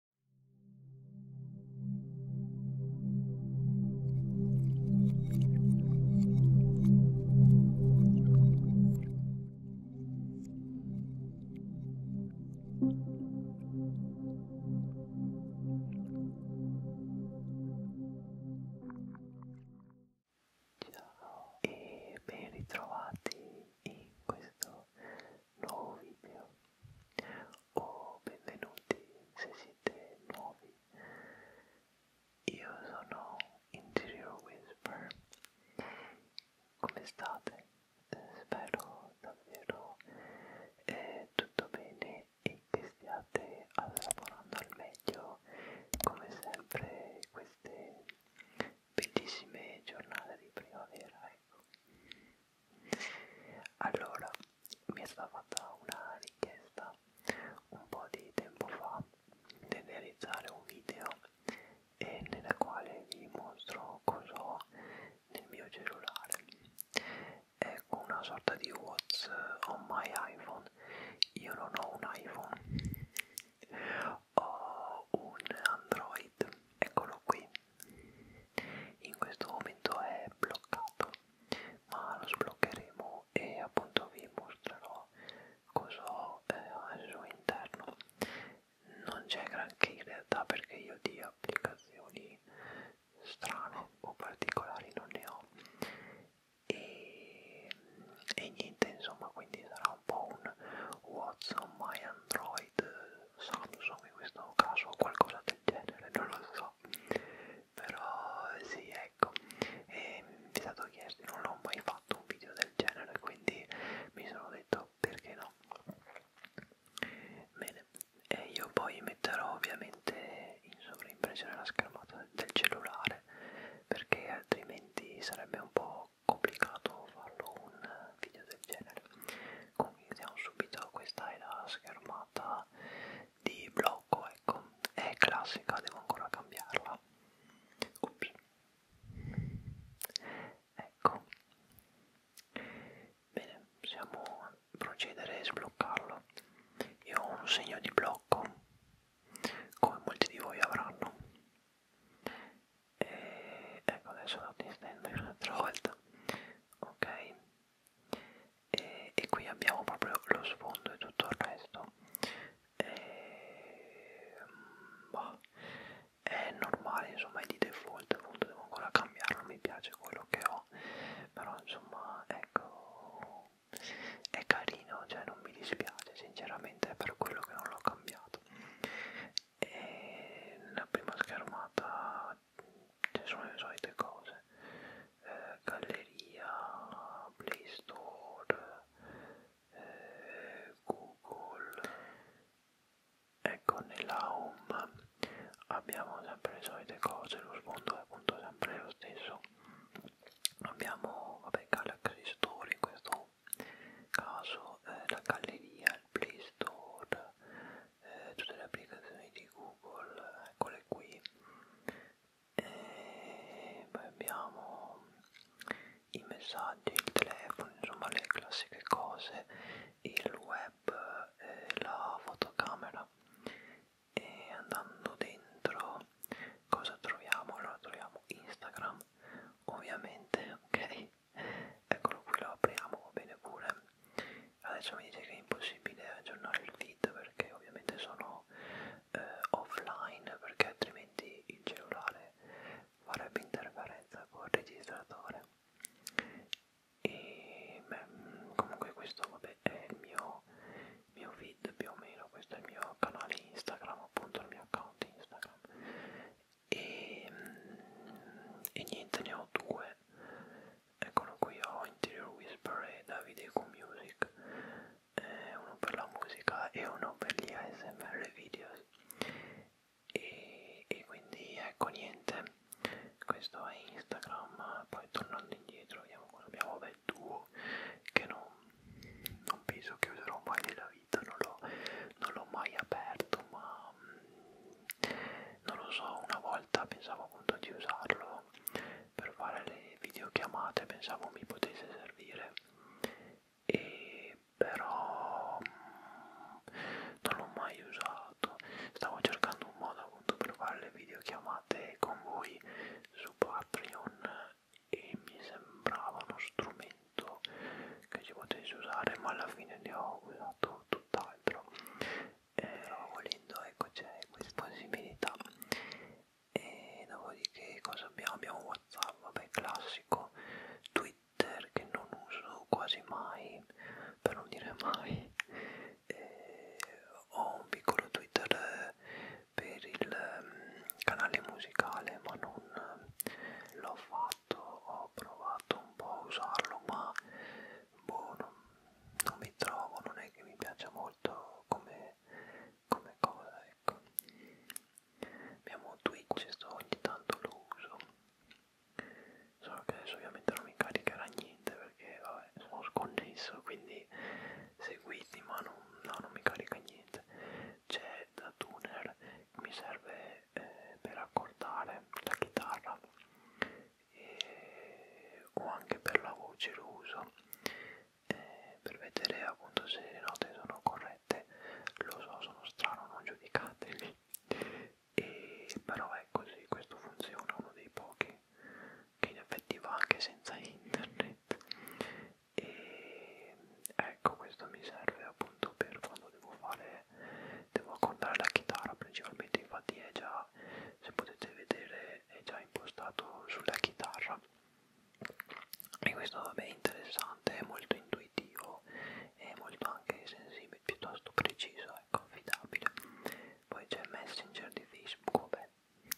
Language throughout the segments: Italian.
Ciao e ben ritrovati in questo nuovo video o benvenuti se siete nuovi. Io sono Interior Whisper. Come state? Spero davvero eh, tutto bene e che stiate assaporando al meglio come sempre queste bellissime giornate di primavera. Ecco. Allora, mi è stata fatta una richiesta un po' di tempo fa di realizzare un video e nella quale vi mostro cosa ho nel mio cellulare. Ecco una sorta di What's on my iPhone. Io non ho un iPhone, ho un Android, eccolo qui in questo momento è bloccato ma lo sbloccheremo e appunto vi mostrerò cosa ho eh, al suo interno non c'è granché in realtà perché io di applicazioni strane o particolari non ne ho e, e niente insomma quindi sarà un po' un what's on my Android, Samsung in questo caso o qualcosa del genere, non lo so, però sì ecco, e mi è stato chiesto, non ho mai fatto un video del genere, quindi mi sono detto perché no. Bene, e io poi metterò ovviamente in sovraimpressione la schermata del cellulare perché altrimenti sarebbe un po' complicato farlo un video del genere comunque iniziamo subito questa è la schermata di blocco ecco è classica devo ancora cambiarla Ops. ecco bene possiamo procedere e sbloccarlo io ho un segno di blocco come molti di voi avranno e eh, ecco adesso la distendo un'altra volta ok e, e qui abbiamo proprio lo sfondo e tutto il resto e, ehm, boh, è normale insomma è di default appunto devo ancora cambiarlo mi piace quello che ho però insomma ecco è carino cioè non mi dispiace sinceramente per quello che non l'ho cambiato e nella prima schermata ci sono le solite cose eh, galleria, play store eh, google ecco nella home abbiamo sempre le solite cose lo sfondo è appunto sempre lo stesso abbiamo vabbè galaxy store in questo caso eh, la galleria, il Play Store, eh, tutte le applicazioni di Google, eccole qui. E eh, poi abbiamo i messaggi, il telefono, insomma le classiche cose, il web, eh, la fotocamera. E andando dentro cosa troviamo? Allora troviamo Instagram, ovviamente, ok? eccolo qui lo apriamo va bene pure adesso mi dice che è impossibile aggiornare il feed perché ovviamente sono eh, offline perché altrimenti il cellulare farebbe interferenza col registratore e beh, mm, comunque questo vabbè è il mio, mio feed più o meno questo è il mio canale Instagram appunto il mio account Instagram e, ehm, e niente ne ho due eccolo qui ho Interior Whisper e Davide con Music eh, uno per la musica e uno per gli ASMR videos e, e quindi ecco niente questo è Instagram poi tornando indietro vediamo cosa abbiamo bel duo che non, non penso che userò mai nella vita vita, non l'ho mai aperto, ma mm, non lo so, una volta pensavo appunto di usarlo per fare le videochiamate, pensavo mi potesse servire, e però mm, non l'ho mai usato, stavo cercando un modo appunto per fare le videochiamate con voi su Patreon e mi sembrava uno strumento che ci potessi usare ma alla fine ne ho usato tutt'altro però eh, volendo ecco c'è questa possibilità e dopodiché cosa abbiamo? abbiamo whatsapp vabbè classico twitter che non uso quasi mai per non dire mai e eh, ho un piccolo twitter eh, per il mm, canale musicale ma non non ehm, l'ho fatto, ho provato un po' a usarlo ma boh, non, non mi trovo, non è che mi piaccia molto come, come cosa, ecco. Abbiamo Twitch, sto ogni tanto lo uso, solo che adesso ovviamente non mi caricherà niente perché vabbè, sono sconnesso, quindi seguiti ma non, no, non mi carica niente niente c'è da tuner che mi serve eh, per accordare la chitarra e, o anche per la voce lo uso eh, per vedere appunto se le note sono corrette lo so sono strano non giudicatemi e, però è così questo funziona uno dei pochi che in effetti va anche senza internet e ecco questo mi serve appunto per quando devo fare devo accordare la chitarra principalmente infatti è già se potete vedere è già impostato sulla chitarra e questo vabbè è interessante è molto intuitivo è molto anche sensibile piuttosto preciso e confidabile poi c'è il messenger di facebook vabbè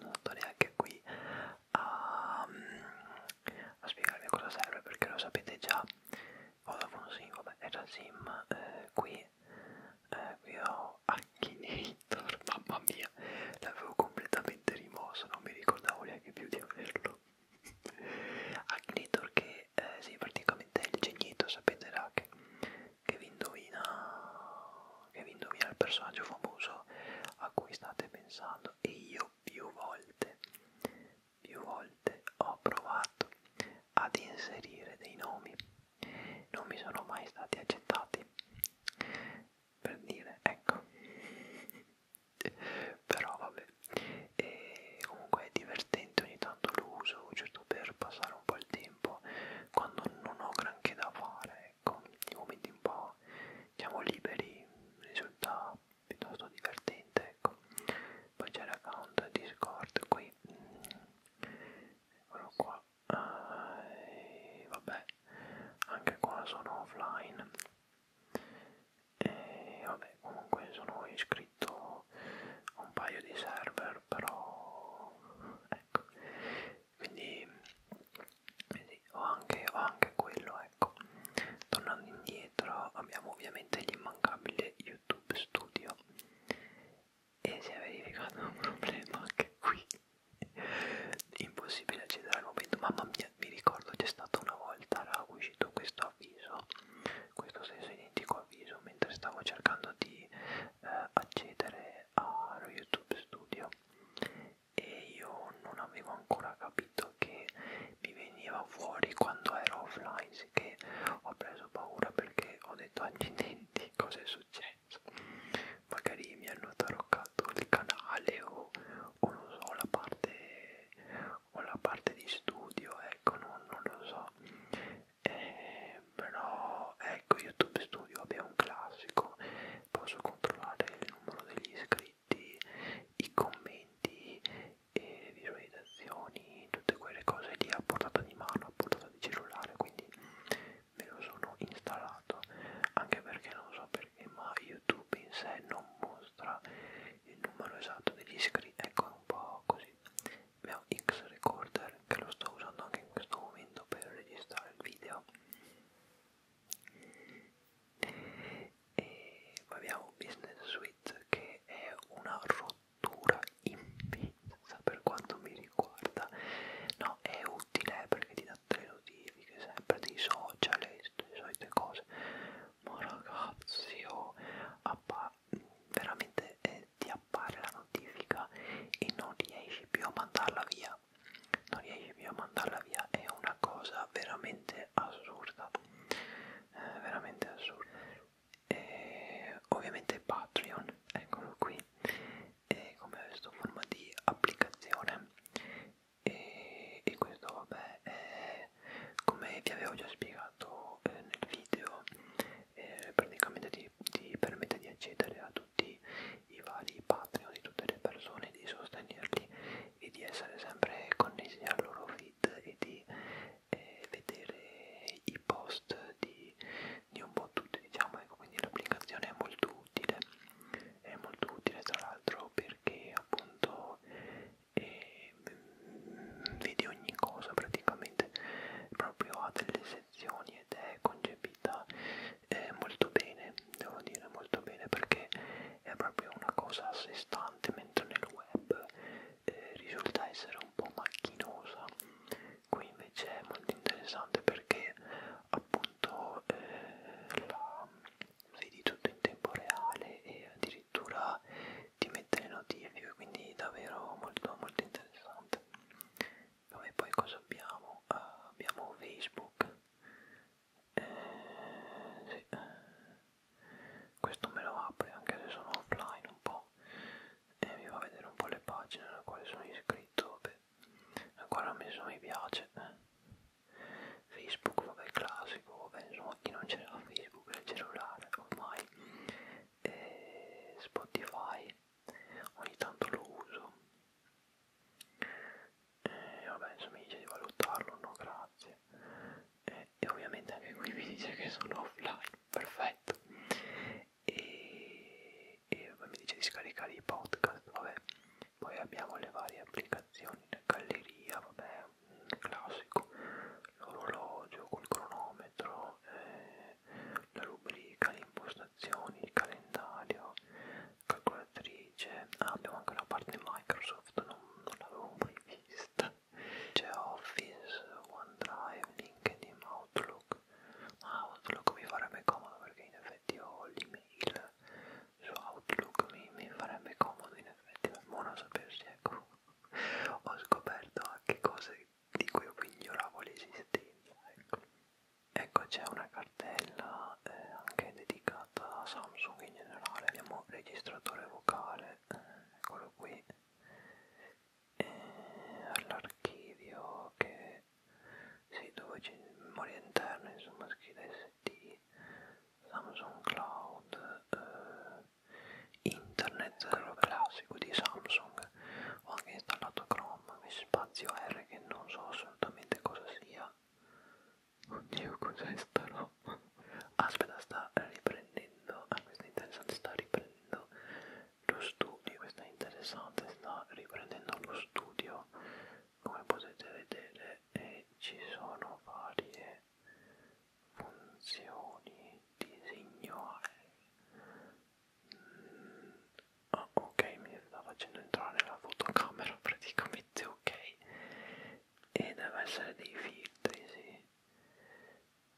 non sto neanche qui a, a spiegarvi a cosa serve perché lo sapete già Vodafone sì, vabbè era sim eh, qui eh, qui ho Akinator mamma mia l'avevo completamente rimosso non mi ricordavo neanche più di averlo Akinator che eh, sì praticamente è il genietto sapete là che, che vi indovina che vi indovina il personaggio famoso a cui state pensando provato e io più volte, più volte ho provato ad inserire dei nomi, non mi sono mai stati accettati per dire ecco però vabbè e comunque è divertente ogni tanto lo uso giusto certo per passare un po' il tempo quando non ho granché da fare ecco, i momenti un po' diciamo liberi risulta piuttosto divertente, ecco. Poi c'è l'account Discord qui, eccolo qua, e vabbè, anche qua sono offline. E vabbè, comunque sono iscritto a un paio di server, però ecco, quindi, quindi ho, anche, ho anche quello ecco tornando indietro abbiamo ovviamente l'immancabile youtube studio e si è verificato un problema anche qui impossibile accedere al momento mamma mia mi ricordo c'è stata una volta era uscito questo avviso questo stesso identico avviso mentre stavo cercando di eh, accedere a YouTube Studio e io non avevo ancora capito che mi veniva fuori quando ero offline, sì che ho preso paura perché ho detto accidenti, cosa è successo? Magari mi hanno taroccato il canale o, o non so, la parte, o la parte di studio, ecco, non, non lo so. Eh, però ecco YouTube Studio è un classico, posso controllare numero degli iscritti, i commenti, e visualizzazioni, tutte quelle cose lì a portata di mano, a portata di cellulare, quindi me lo sono installato, anche perché non so perché, ma YouTube in sé non mostra il numero esatto degli iscritti, ecco un po' così. Abbiamo X Recorder che lo sto usando anche in questo momento per registrare il video e poi abbiamo Business Suite che è una rottura immensa per quanto mi riguarda no è utile eh, perché ti dà tre notifiche sempre dei social e le solite cose ma ragazzi oh, veramente eh, ti appare la notifica e non riesci più a mandarla via non riesci più a mandarla via è una cosa veramente assurda eh, veramente assurda e ovviamente Patreon eccolo qui e come questo forma di applicazione e, e questo vabbè è, come vi avevo già spiegato eh, nel video eh, praticamente ti, ti permette di accedere a tutti i vari Patreon di tutte le persone, di sostenerli e di essere sempre connessi al loro feed e di eh, vedere i post di, di un po' tutti, diciamo, ecco, quindi l'applicazione è molto utile, è molto utile tra l'altro perché appunto eh, vedi ogni cosa praticamente, proprio ha delle sezioni ed è concepita eh, molto bene, devo dire molto bene perché è proprio una cosa a sé stante, mentre nel web eh, risulta essere un po' macchinosa. Qui invece è molto interessante perché appunto eh, la vedi tutto in tempo reale e addirittura ti mette le notifiche, quindi davvero molto molto interessante. Vabbè, poi cosa abbiamo? Uh, abbiamo Facebook. Eh, sì. Questo me lo apre anche se sono offline un po' e mi va a vedere un po' le pagine alle quali sono iscritto. Vabbè, ancora ho messo mi piace. Eh. Facebook, vabbè, classico, vabbè, insomma, chi non c'era Facebook nel cellulare ormai. E Spotify ogni tanto lo uso e eh, vabbè insomma mi dice di valutarlo no grazie e, eh, e ovviamente anche qui mi dice che sono offline perfetto e, e mi dice di scaricare i podcast vabbè poi abbiamo le varie applicazioni la galleria vabbè classico l'orologio col cronometro eh, la rubrica l'impostazione illustrazioni, il calendario, calcolatrice, ah, abbiamo anche una parte Microsoft, non, non l'avevo mai vista, c'è Office, OneDrive, LinkedIn, Outlook, ma ah, Outlook mi farebbe comodo perché in effetti ho l'email su Outlook, mi, mi farebbe comodo in effetti, ma non sapersi ecco, ho scoperto anche cose di cui io ignoravo l'esistenza. Ecco, ecco c'è una cartella eh, anche dedicata a Samsung in generale. Abbiamo registratore vocale, eh, eccolo qui, e all'archivio che sì, dove c'è memoria interna, insomma, scheda SD, Samsung Cloud, eh, internet, quello classico di Samsung Chrome ho anche installato Chrome spazio R che non so assolutamente cosa sia oddio cos'è sta roba aspetta sta riprendendo ah questa è interessante sta riprendendo lo studio questa è interessante sta riprendendo lo studio come potete vedere e eh, ci sono varie funzioni disegno Ah, ok, mi sta facendo entrare la fotocamera praticamente ok. E deve essere dei filtri, sì.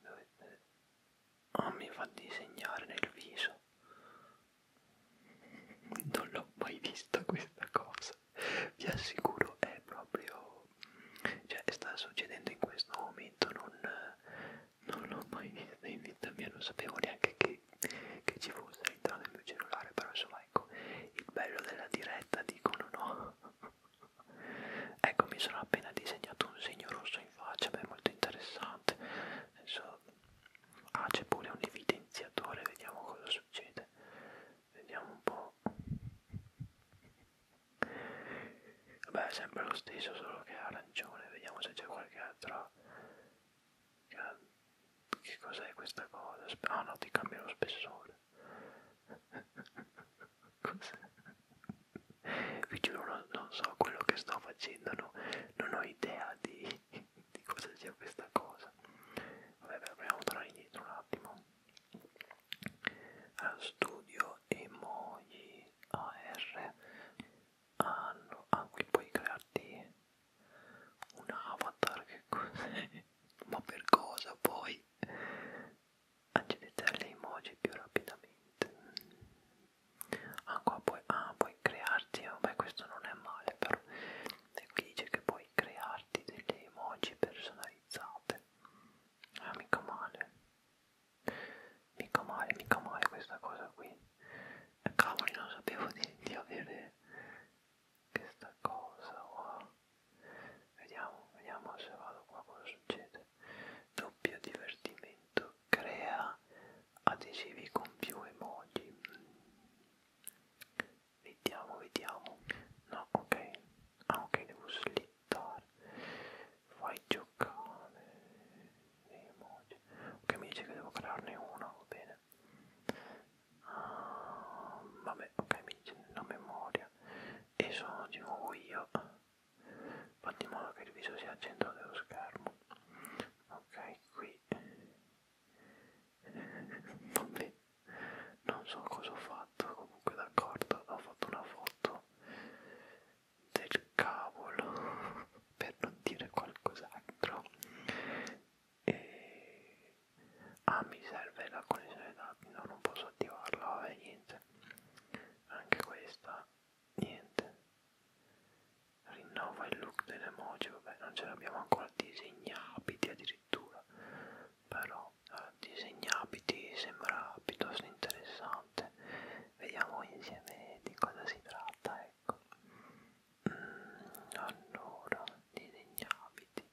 Dovete... Ah, mi fa disegnare nel viso. Non l'ho mai vista questa cosa. Vi assicuro, è proprio. Cioè, sta succedendo in questo momento, non, non l'ho mai vista in vita mia, non sapevo neanche che, che ci fosse all'interno del mio cellulare, però insomma ecco, il bello della diretta dicono no. ecco, mi sono appena disegnato un segno rosso in faccia, beh, è molto interessante. Adesso, ah, c'è pure un evidenziatore, vediamo cosa succede. Vediamo un po'. Beh, è sempre lo stesso, solo che è arancione. Vediamo se c'è qualche altro. Che cos'è questa cosa? Ah oh, no, ti cambia lo spessore. Vi giuro, non, non so quello che sto facendo, no, non ho idea di, di cosa sia questa cosa. Vabbè, beh, proviamo a tornare indietro un attimo. Allora, studio emoji, AR hanno ah qui puoi crearti un avatar che cos'è ma per cosa poi accedete alle emoji più rapidamente ah qua puoi, ah, puoi crearti vabbè questo non è male però e qui dice che puoi crearti delle emoji personalizzate non ah, è mica male mica male, mica male questa cosa qui. Cavoli, non sapevo di, di avere questa cosa. Wow. Vediamo, vediamo se vado qua cosa succede. Doppio divertimento. Crea adesivi con più emoji. Vediamo, vediamo. No, ok. Ah, ok, devo slip aspettare fai giocare dei emoji ok mi dice che devo crearne uno va bene uh, vabbè ok mi dice la memoria e sono di nuovo io fatti in modo che il viso sia al centro dello schermo ok qui vabbè non so cosa ho fatto comunque d'accordo ho fatto una foto del cavolo per non dire qualcos'altro e ah mi serve la connessione dati no non posso attivarla vabbè niente anche questa niente rinnova il look dell'emoji vabbè non ce l'abbiamo ancora disegna abiti addirittura però disegna abiti sembra piuttosto interessante vediamo insieme di cosa si tratta ecco mm, allora disegna abiti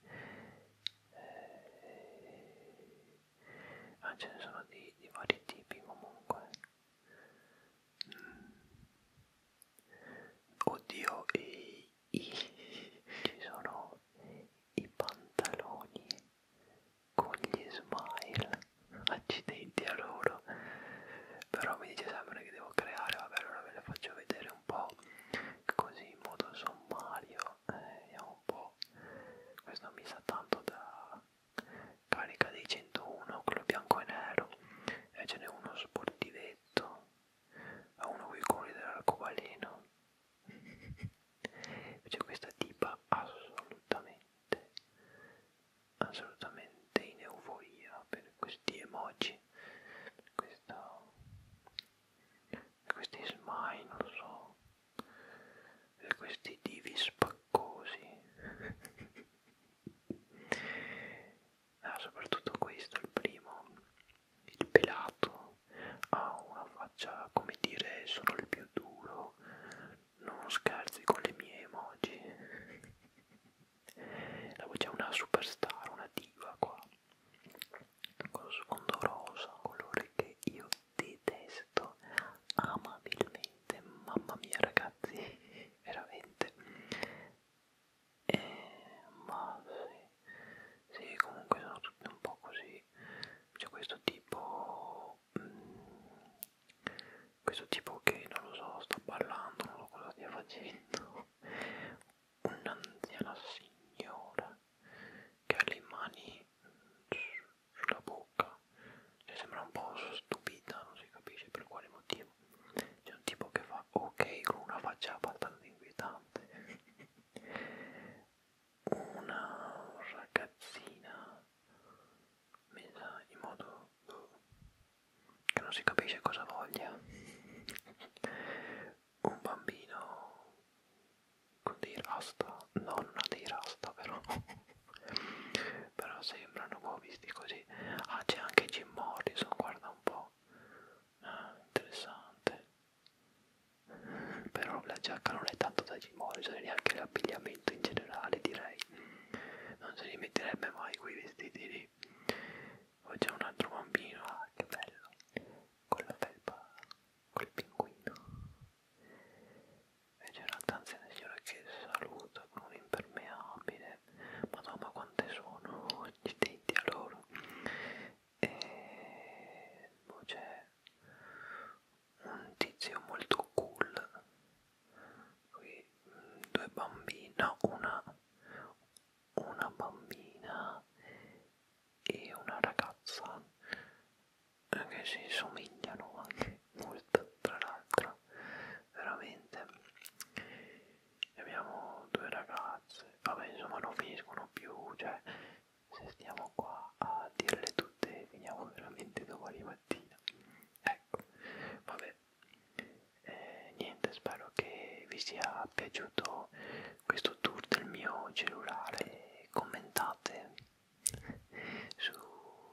eh, ah, ce ne sono di, di vari tipi comunque mm. oddio i, i, ci sono i pantaloni con gli smile accidenti a loro però mi dice sempre che devo creare vabbè allora ve le faccio vedere un po' così in modo sommario eh, vediamo un po' questo mi sa tanto da carica dei 101 quello bianco e nero e ce n'è uno sportivetto uno con i colori dell'arcobaleno invece questa tipa assolutamente assolutamente in euforia per questi emoji per questa, per questi smile non so per questi divi spaccosi ah, soprattutto questo il primo il pelato ha una faccia come dire sono il più duro non scherzi con le mie emoji la voce è una superstar una diva qua con lo sfondo rosa colore che io detesto amabilmente mamma mia ragazzi veramente eh, ma sì, sì comunque sono tutti un po' così quindi c'è questo tipo mh, mm, questo tipo che non lo so sta ballando non so cosa stia facendo un'anziana signora che ha le mani mm, sulla bocca cioè sembra un po' stupita non si capisce per quale motivo c'è un tipo che fa ok con una faccia abbastanza inquietante una ragazzina messa in modo boh, che non si capisce cosa voglia un bambino con dei rasta non dei rasta però però sembrano un po' visti così ah c'è anche Jim Morrison guarda un po' ah, interessante però la giacca non è tanto da Jim Morrison e neanche l'abbigliamento in generale direi non se li metterebbe mai quei vestiti lì poi c'è un altro bambino ah, che bello con la felpa col pinguino e c'è un'altra anziana signora che saluta con un impermeabile madonna quante sono gli denti a loro e eh, boh, c'è un tizio molto cool qui mm, due bambini no, una una bambina e una ragazza eh, che si somigliano anche molto tra l'altro veramente abbiamo due ragazze vabbè insomma non finiscono più cioè se stiamo qua a dirle tutte finiamo veramente domani mattina ecco vabbè eh, niente spero che vi sia piaciuto questo tour del mio cellulare commentate su,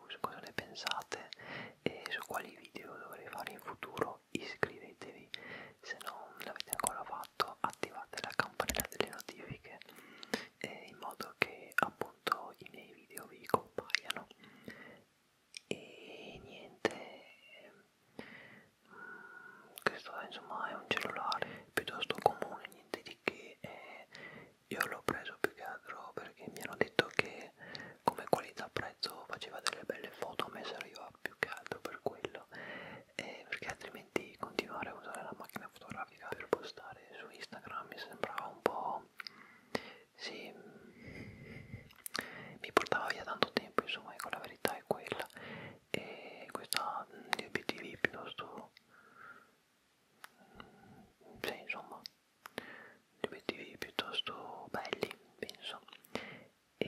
su cosa ne pensate e su quali video dovrei fare in futuro iscrivetevi se non l'avete ancora fatto fatto attivate la campanella delle notifiche eh, in modo che appunto i miei video vi compaiano e niente mh, mm, questo insomma è un cellulare piuttosto comune niente di che eh, io l'ho preso più che altro perché mi hanno detto che come qualità prezzo faceva delle belle foto a me serviva fa più che altro per quello eh, perché altrimenti continuare a usare la macchina fotografica per postare su Instagram mi sembrava un po' sì mi portava via tanto tempo insomma ecco la verità è quella e questa gli mm, obiettivi piuttosto mm, sì insomma gli obiettivi piuttosto belli penso e,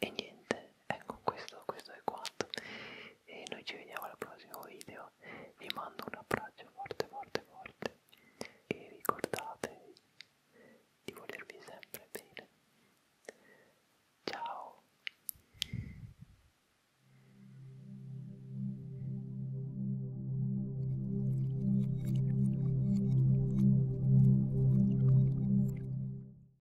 e niente ecco questo, questo è quanto e noi ci vediamo al prossimo video vi mando un abbraccio forte forte forte e ricordate di volervi sempre bene ciao